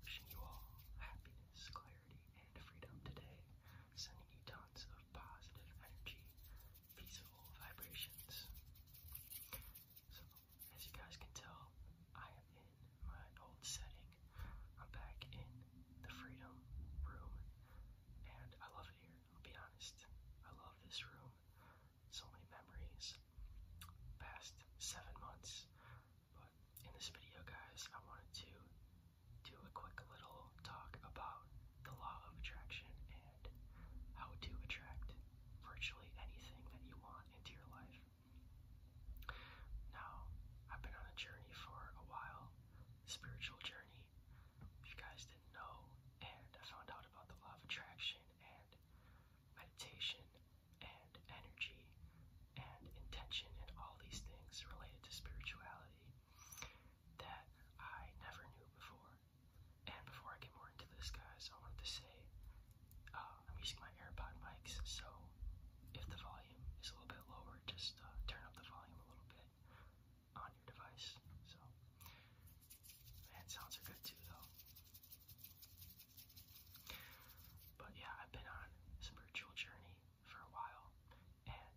Wishing you all happiness, clarity, and freedom today. Sending you tons of positive energy, peaceful vibrations. So, as you guys can tell, I am in my old setting. I'm back in the Freedom Room, and I love it here. I'll be honest, I love this room so many memories, past seven months. But in this video, guys, I wanted to do a quick little talk about the law of attraction and how to attract virtually anything that you want into your life. Now, I've been on a journey for a while, spiritual journey. If you guys didn't know, and I found out lot about the law of attraction and meditation and energy and intention and all these things related to spirituality that I never knew before. And before I get more into this, guys, I wanted to say uh, I'm using my AirPod mics, so if the volume is a little bit lower, just uh, turn up the volume a little bit on your device. So, man, sounds are good too, though. But yeah, I've been on a spiritual journey for a while, and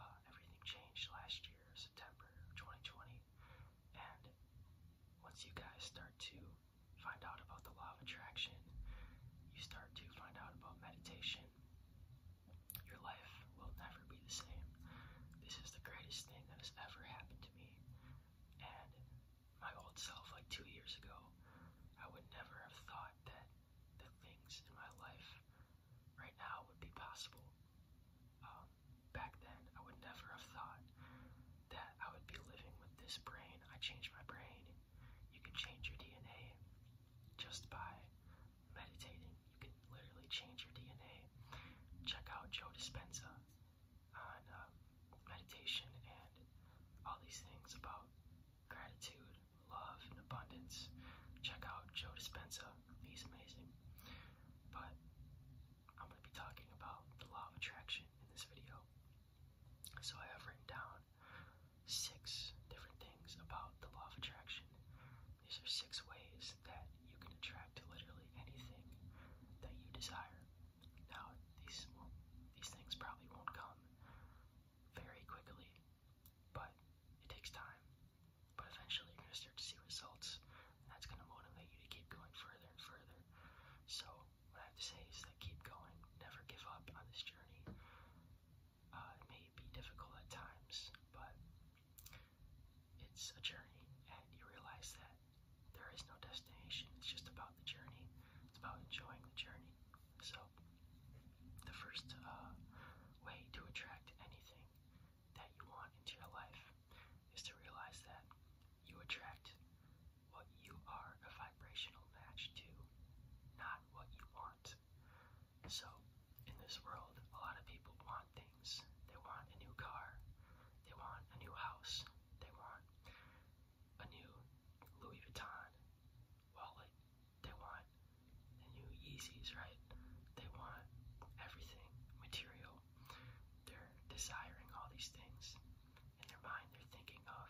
uh, everything changed last year, September 2020. And once you guys start to find out about the law of attraction, you start to find out about meditation, your life will never be the same. This is the greatest thing that has ever happened to me. And my old self, like two years ago, I would never have thought that the things in my life right now would be possible. Um, back then, I would never have thought that I would be living with this brain. I changed my brain. You can change your DNA just by meditating, you can literally change your DNA. Check out Joe Dispenza on uh, meditation and all these things about gratitude, love, and abundance. Check out Joe Dispenza, he's amazing. But I'm going to be talking about the law of attraction in this video. So I have written down six different things about the law of attraction these are six ways that you can attract literally anything that you desire. Now, these will, these things probably won't come very quickly, but it takes time. But eventually, you're gonna start to see results, and that's gonna motivate you to keep going further and further. So, what I have to say is that keep going, never give up on this journey. Uh, it may be difficult at times, but it's a journey, and you realize that there is no destination. It's just about the journey. It's about enjoying the journey. So, the first uh, way to attract anything that you want into your life is to realize that you attract what you are a vibrational match to, not what you want. So, in this world, a lot of people want things. They want a new car, they want a new house, they want a new Louis Vuitton wallet, they want the new Yeezys, right? They want everything material. They're desiring all these things. In their mind, they're thinking of,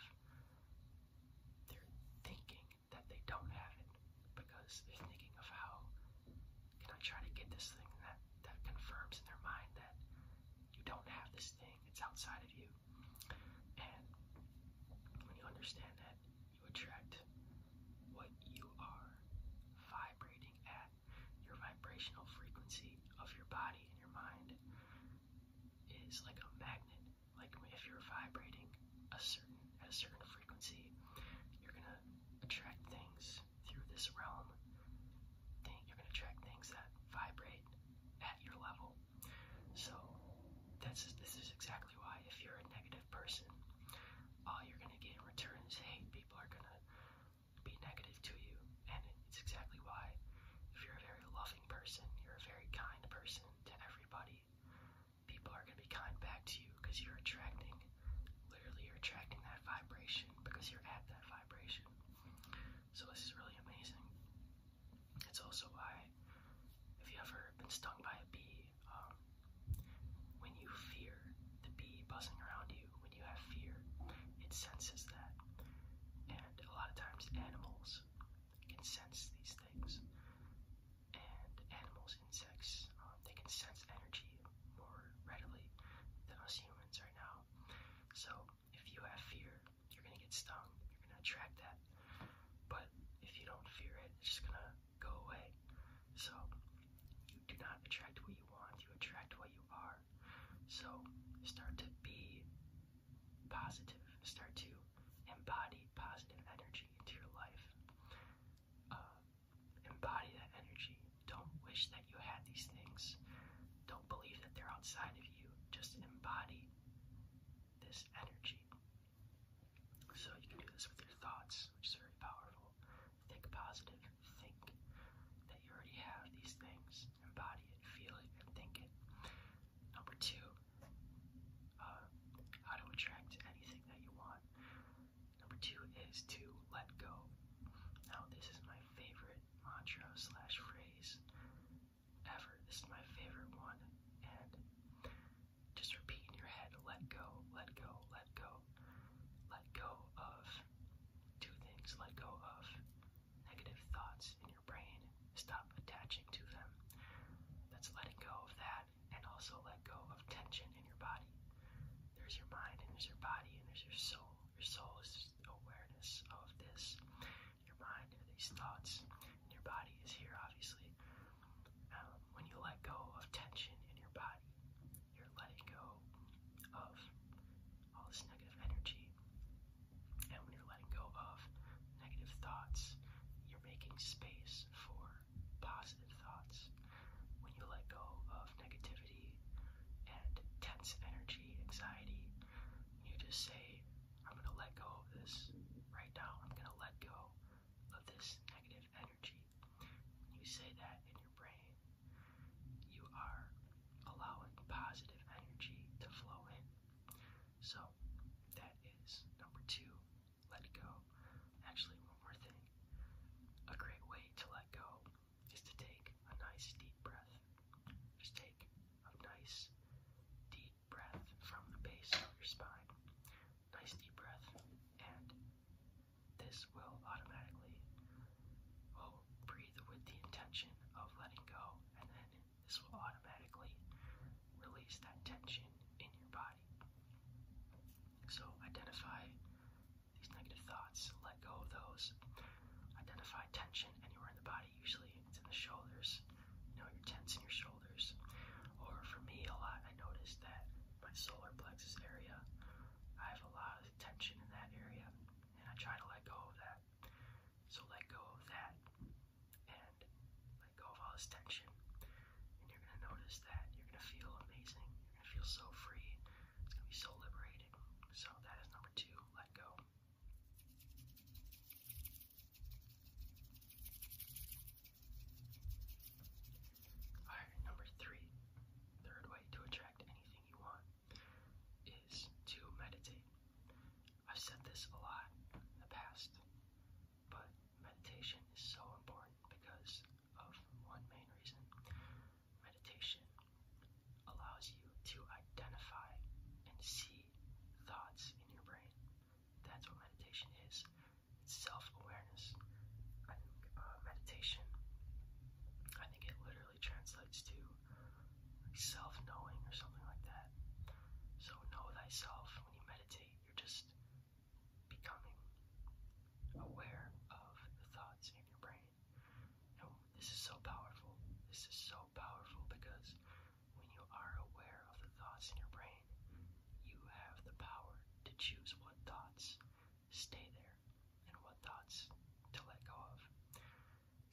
they're thinking that they don't have it because they're thinking of how you know, trying to get this thing that, that confirms in their mind that you don't have this thing, it's outside of you. And when you understand that, you attract what you are vibrating at. Your vibrational frequency of your body and your mind is like a magnet. Like if you're vibrating a certain at a certain frequency, you're gonna attract things through this realm. you're gonna attract things that vibrate at your level. So that's this is exactly why if you're a negative person, all you're gonna get in return is hate. People are gonna be negative to you, and it's exactly why if you're a very loving person, you're a very kind person to everybody people are going to be kind back to you because you're attracting, literally, you're attracting that vibration because you're at that vibration. So, this is really amazing. It's also why, if you've ever been stung by a bee, um, when you fear the bee buzzing around you, when you have fear, it senses that. And a lot of times, animals can sense these things and animals, insects, um, they can sense energy more readily than us humans right now. So if you have fear, you're gonna get stung, you're gonna attract that. But if you don't fear it, it's just gonna go away. So you do not attract what you want, you attract what you are. So start to be positive, start to embody positive energy into your life uh, embody that energy. Don't wish that you had these things. Don't believe that they're outside of you. Just embody this energy. So you can do this with your thoughts, which is very powerful. Think positive. Think that you already have these things. Embody it, feel it, and think it. Number two, uh, how to attract anything that you want. Number two is to let go. Now, this is my favorite mantra slash phrase ever. This is my favorite one. And just repeat in your head let go, let go, let go. Let go of two things. Let go of negative thoughts in your brain. Stop attaching to them. That's letting go of that and also let go of tension in your body. There's your mind, and there's your body, and there's your soul. Your soul is awareness of this. Your mind are these thoughts, and your body is here, obviously. Um, when you let go of tension in your body, you're letting go of all this negative energy. And when you're letting go of negative thoughts, you're making space for positive thoughts, when you let go of negativity and tense energy, anxiety, you just say, I'm going to let go of this right now. I'm going to let go of this negative energy. When you say that in your brain, you are allowing positive energy to flow in. So that is number two let go. Actually, one more thing. A great way to let go is to take a nice deep breath. Just take a nice deep breath from the base of your spine. Nice deep breath, and this will automatically will breathe with the intention of letting go, and then this will automatically release that tension in your body. So, identify these negative thoughts, let go of those. Identify tension anywhere in the body, usually it's in the shoulders. You know, you're tense in your shoulders. Or for me, a lot, I noticed that my solar plexus area, I have a lot of tension in that area, and I try to let go of that. So, let go of that and let go of all this tension. And you're gonna notice that you're gonna feel amazing. You're gonna feel so free. It's gonna be so liberated. So that is number two, let go. Alright, number three, third way to attract anything you want is to meditate. I've said this a lot in the past, but meditation is so important because of one main reason. Meditation allows you to identify and see thoughts in your brain. That's what meditation is. self-awareness. Uh, meditation, I think it literally translates to self-knowing or something like that. So know thyself when you meditate. You're just becoming aware of the thoughts in your brain. No, this is so powerful. This is so powerful because when you are aware of the thoughts in your brain, you have the power to choose what thoughts stay there and what thoughts to let go of.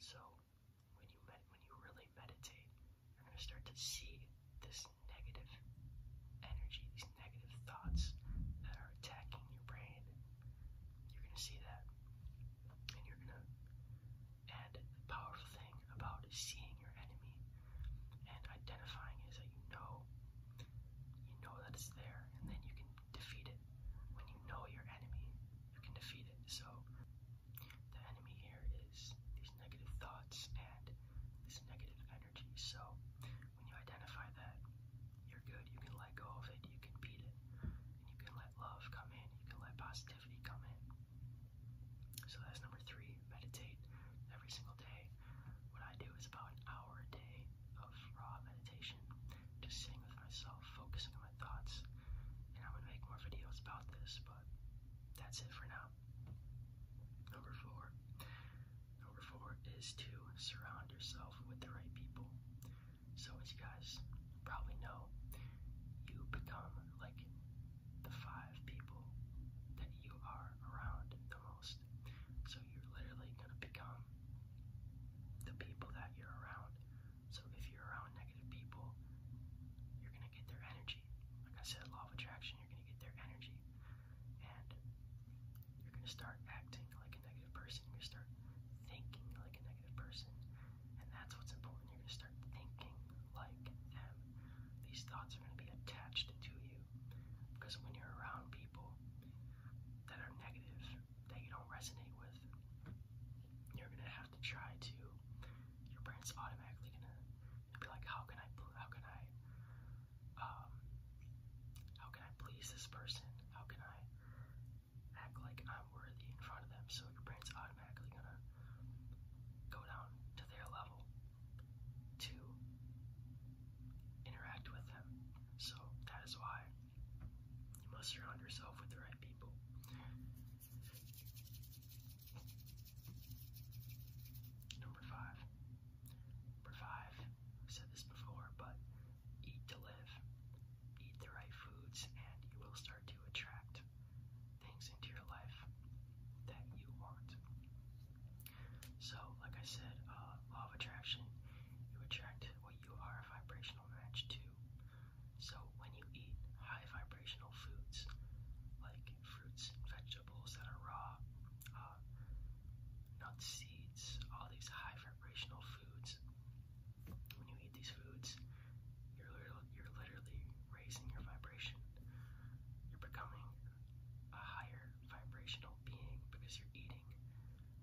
So, when you med when you really meditate, you're gonna start to see this negative energy, these negative thoughts that are attacking your brain. You're gonna see that, and you're gonna. And the powerful thing about seeing your enemy and identifying is that you know, you know that it's there, and then you can defeat it. When you know your enemy, you can defeat it. So the enemy here is these negative thoughts and this negative energy. So when you identify that, you're good. You can let go of it. You can beat it. And you can let love come in. You can let positivity come in. So that's number three. Meditate every single day. What I do is about an hour a day of raw meditation, just sitting with myself, focusing on my thoughts. And i would make more videos about this, but that's it for now. Number four. Number four is to surround yourself with the right people. So, as you guys probably know, you become like the five people that you are around the most. So, you're literally going to become the people that you're around. So, if you're around negative people, you're gonna get their energy. Like I said, law of attraction, you're gonna get their energy. And you're gonna start acting like a negative person. You're gonna start thinking like a negative person. And that's what's important. You're gonna start thinking like them. These thoughts are gonna be attached to you. Because when you're around people that are negative, that you don't resonate with, you're gonna have have to try to. Your brain's automatically gonna, gonna be like, how can I, how can I, um, how can I please this person? How can I act like I'm worthy in front of them? So your brain's automatically gonna go down to their level to interact with them. So that is why you must surround yourself with the right people. Number five. Number five, I've said this before, but eat to live. Eat the right foods, and you will start to attract things into your life that you want. So, like I said, uh, law of attraction, you attract what you are a vibrational match to. So when you eat high vibrational foods like fruits and vegetables that are raw, uh, nuts, seeds, all these high vibrational foods, when you eat these foods, you're literally, you're literally raising your vibration. You're becoming a higher vibrational being because you're eating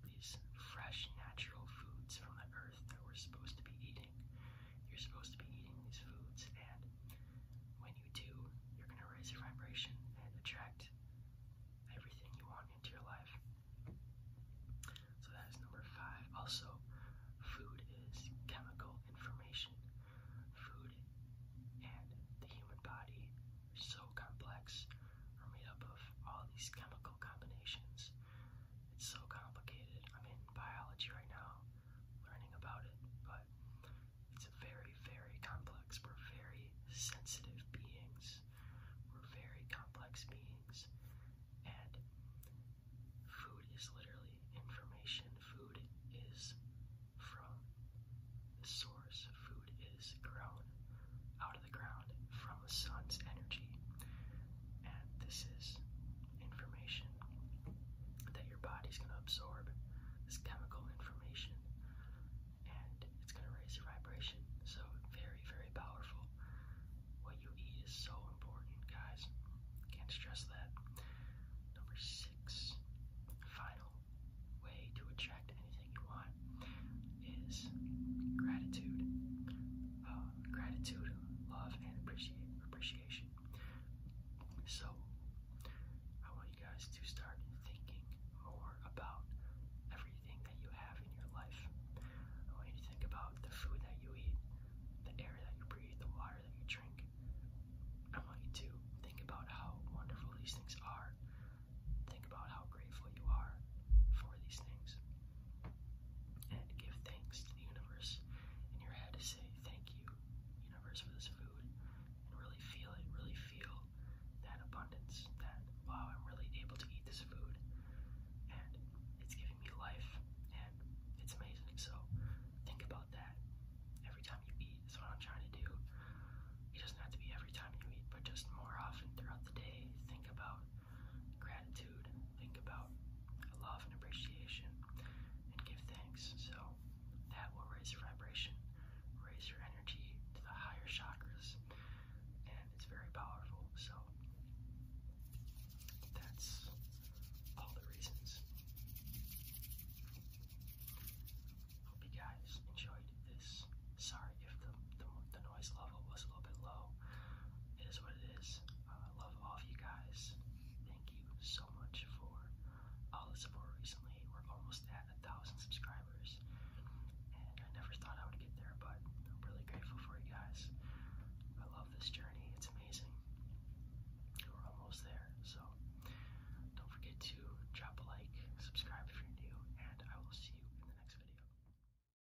these fresh, natural foods from the earth that we're supposed to be eating. You're supposed to be eating these foods, and when you do, you're going to raise your vibration and attract everything you want into your life. So that is number five. Also, food is chemical information. Food and the human body are so complex, are made up of all these chemical combinations it's so complicated. I'm in biology right now, learning about it, but it's very, very complex. We're very sensitive beings. We're very complex beings. And food is literally information. Food is from the source. Food is grown out of the ground from the sun's energy and this is information that your body is going to absorb this chemical information and it's going to raise your vibration so very very powerful what you eat is so important guys can't stress that number six final way to attract anything you want is gratitude um, gratitude, love, and appreciate appreciation. So, I want you guys to start thinking more about everything that you have in your life. I want you to think about the food that you eat, the air that you breathe, the water that you drink. I want you to think about how wonderful these things are. Think about how grateful you are for these things and give thanks to the universe in your head to say thank you, universe, for this food, and really feel it, really feel that abundance, that wow, I'm really able to eat this food, and it's giving me life, and it's amazing. So think about that every time you eat. That's what I'm trying to do. It doesn't have to be every time you eat, but just more often throughout the day. Think about gratitude, think about love and appreciation, and give thanks. So that will raise your vibration, raise your energy to the higher chakras, and it's very powerful. So that's all the reasons. Hope you guys enjoyed this. Sorry if the, the, noise level was a little bit low it is what it is. Uh, I love all of you guys. Thank you so much for all the support recently. We're almost at a thousand subscribers, and I never thought I would get there, but I'm really grateful for you guys. I love this journey, it's amazing. We're almost there, so don't forget to drop a like, subscribe if you're new, and I will see you in the next video.